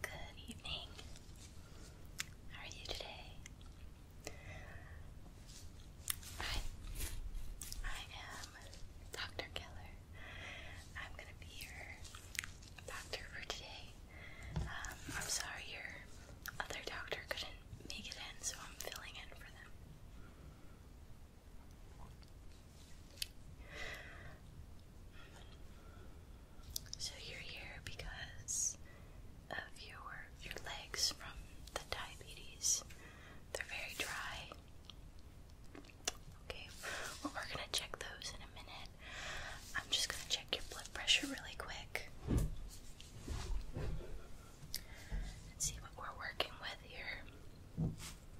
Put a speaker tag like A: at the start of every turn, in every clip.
A: Good evening. How are you today? Hi. I am Dr. Keller. I'm gonna be your doctor for today. Um, I'm sorry your other doctor couldn't make it in, so I'm filling in for them. So you're here because of your your legs from the diabetes. They're very dry. Okay, well, we're gonna check those in a minute. I'm just gonna check your blood pressure really quick and see what we're working with here.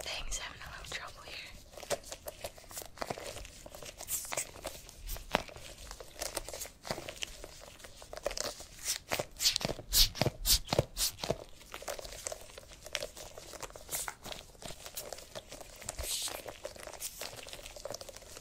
A: Things having a little trouble here.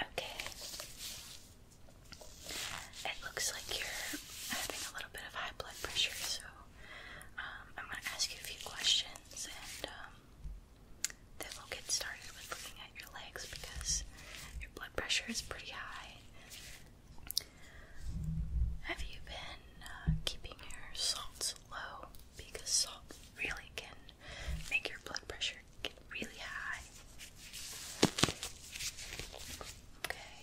A: Okay. It looks like you're having a little bit of high blood pressure, so um, I'm going to ask you a few questions and um, then we'll get started with looking at your legs because your blood pressure is pretty high. Have you been uh, keeping your salts low? Because salt really can make your blood pressure get really high. Okay.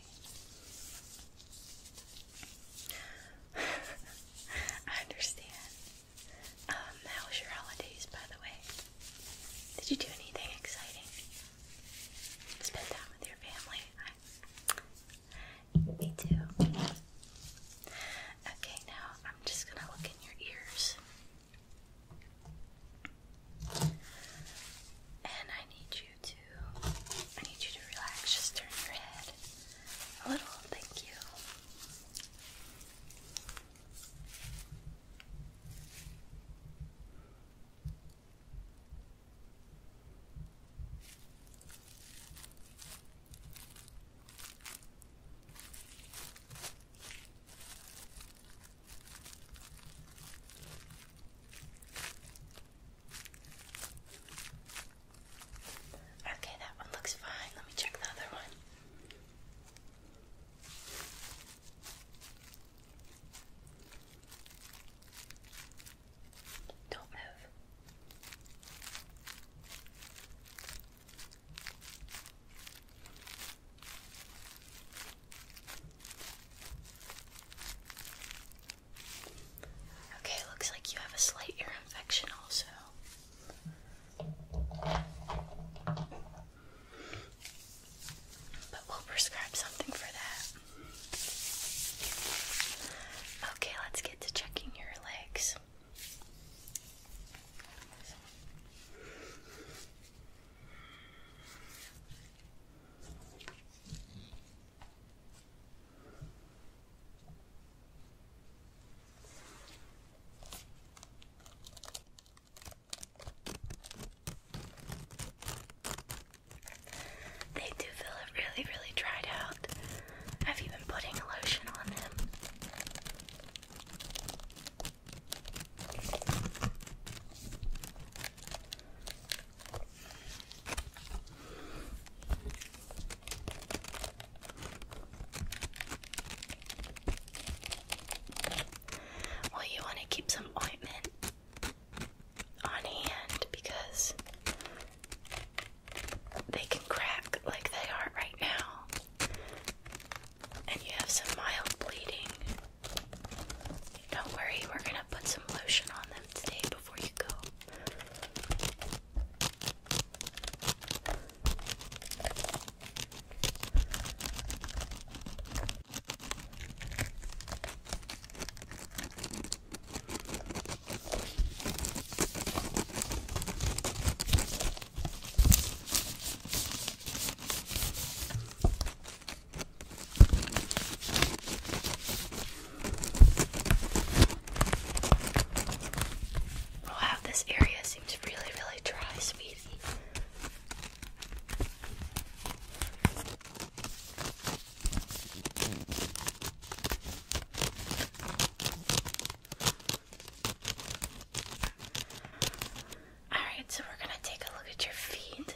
A: I understand. Um, how was your holidays, by the way? Did you do anything exciting? Spend time with your family? me too. Okay, now I'm just gonna look in your ears. And I need you to I need you to relax, just turn your head a little, thank you. Okay, that one looks fine. Let me check the other one. Don't move. Okay, looks like you have a slight ear infection also. But we'll prescribe something for that. Okay, let's get to checking your legs. They do feel really, really dried out. I've even putting lotion on them. Well, you want to keep some ointment on hand because they can crack like they are right now, and you have some mild bleeding. Don't worry, we're going to put some lotion on them today before you go. We'll this area seems really, really dry, sweetie. Alright, so we're gonna take a look at your feet.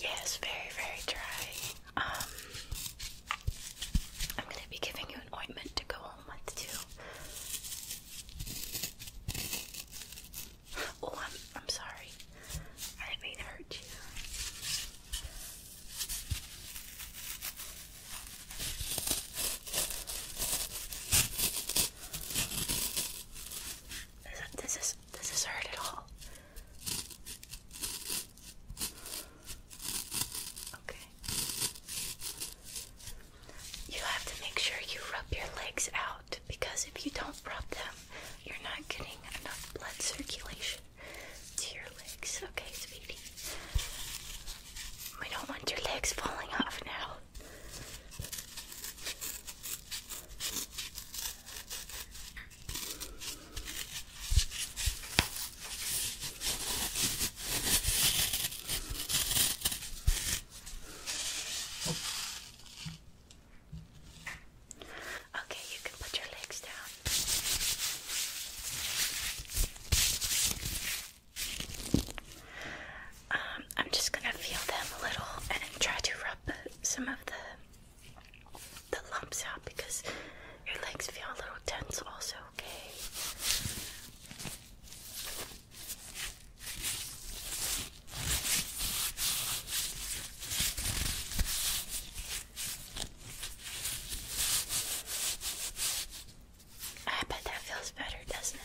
A: Yes, very, very dry. Um, I'm going to be giving you an ointment to go home with too. Oh, I'm I'm sorry. I didn't mean to hurt you. This is this is hurt at all. Okay. You have to make sure you rub your legs out because if you don't rub them, you're not getting enough blood circulation to your legs. Okay, sweetie. We don't want your legs falling off now. Okay, you can put your legs down. Um, I'm just gonna feel them a little and try to rub some of the the lumps out because your legs feel a little tense also, okay? I bet that feels better, doesn't it?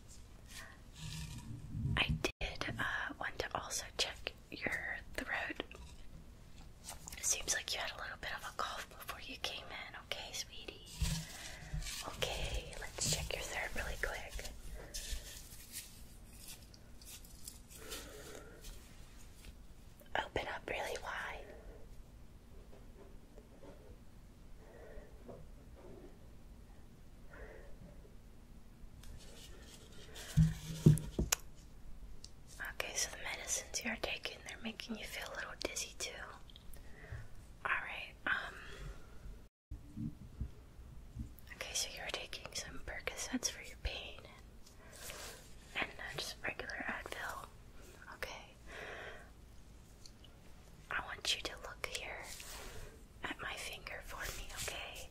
A: I did uh, want to also check your throat. It seems like you had a little bit of a cough before you came in. Okay, sweetie. Okay, let's check your throat really quick. Open up really wide. Okay, so the medicines you're taking, they're making you feel a little dizzy too. Alright, um, Okay, so you're taking some Percocets for your pain and, and just regular Advil. Okay. I want you to look here at my finger for me, okay?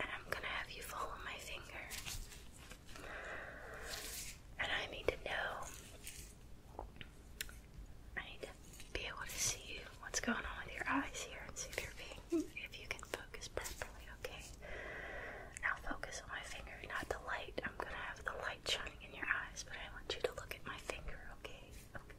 A: And I'm gonna have you follow my finger. And I need to know. I need to be able to see what's going on with your eyes here and see if you're being if you can focus properly, okay? Now focus on my finger, not the light. I'm gonna have the light shining in your eyes, but I want you to look at my finger, okay? Okay.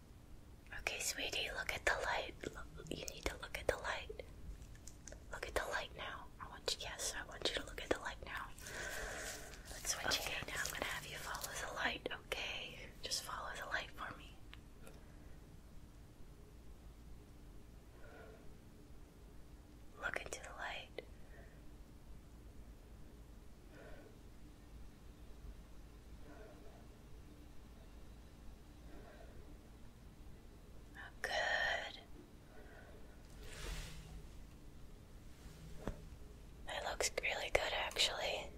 A: Okay, sweetie, look at the light. you need to look at the light. Look at the light now. I want you, yes, I want you to look at the light now. Let's switch okay, now I'm gonna have you follow the light, okay? Just follow the light for me. Look into the light. Good. That looks really good, actually.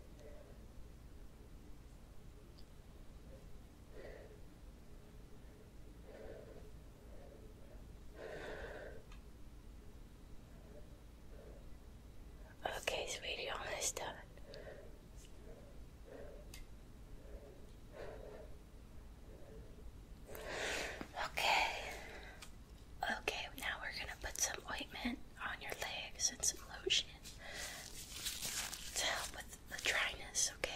A: Okay, sweetie, almost done. Okay. Okay, now we're going to put some ointment on your legs and some lotion to help with the dryness, okay?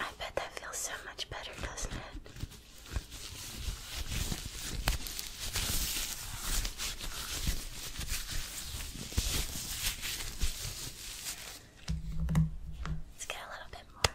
A: I bet that feels so much better, doesn't it? Let's get a little bit more.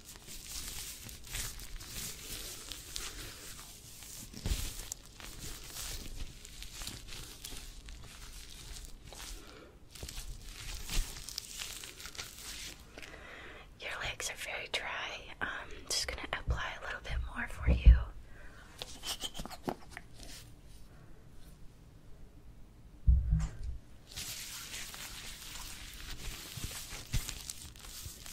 A: Your legs are very dry. I'm um, just going to apply a little bit more for you.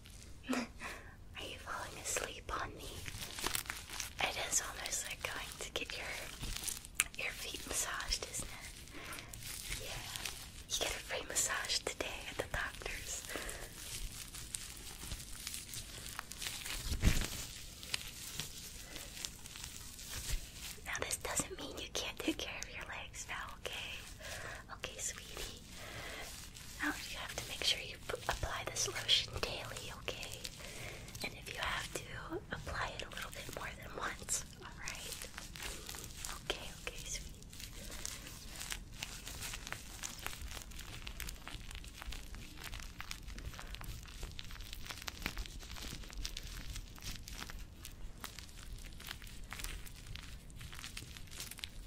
A: Are you falling asleep on me? It is almost like going to get your your feet massaged, isn't it? Yeah. You get a free massage today at the doctor's. Now this doesn't mean you can't take care of your legs now, okay? Okay, sweetie. Now oh, you have to make sure you apply this lotion daily, okay? And if you have to, apply it a little bit more than once, alright? Okay, okay, sweet.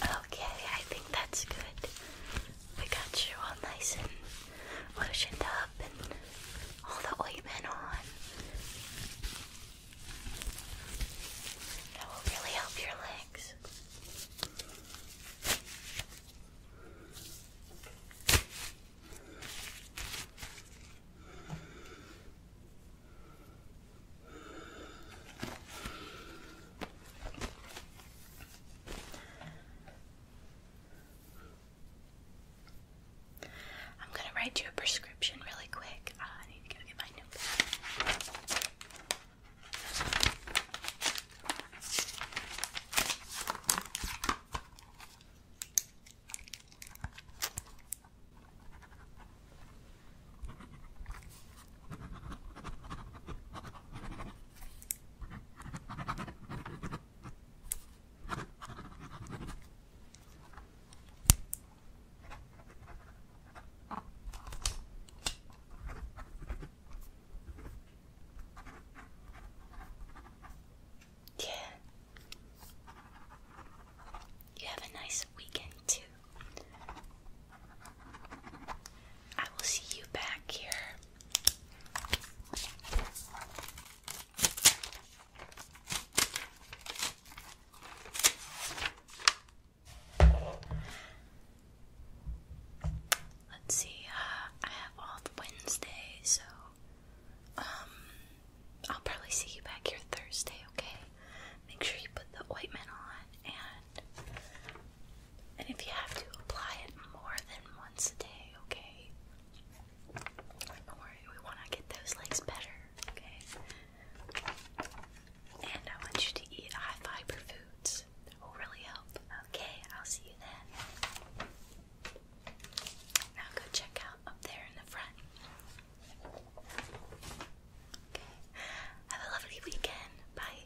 A: Okay, I think that's good. We got you all nice and lotioned up and all the ointment on. That will really help your legs. I'm gonna write you a prescription really quick. Uh, I need to go get my notebook. Yeah. You have a nice weekend too. I will see you back here Let's see, uh, I have off Wednesday, so um, I'll probably see you back here Thursday, okay? Make sure you put the ointment on and and if you have to, apply it more than once a day, okay? Don't worry, we want to get those legs better, okay? And I want you to eat high fiber foods, that will really help. Okay, I'll see you then. Now go check out up there in the front. Okay, have a lovely weekend. Bye.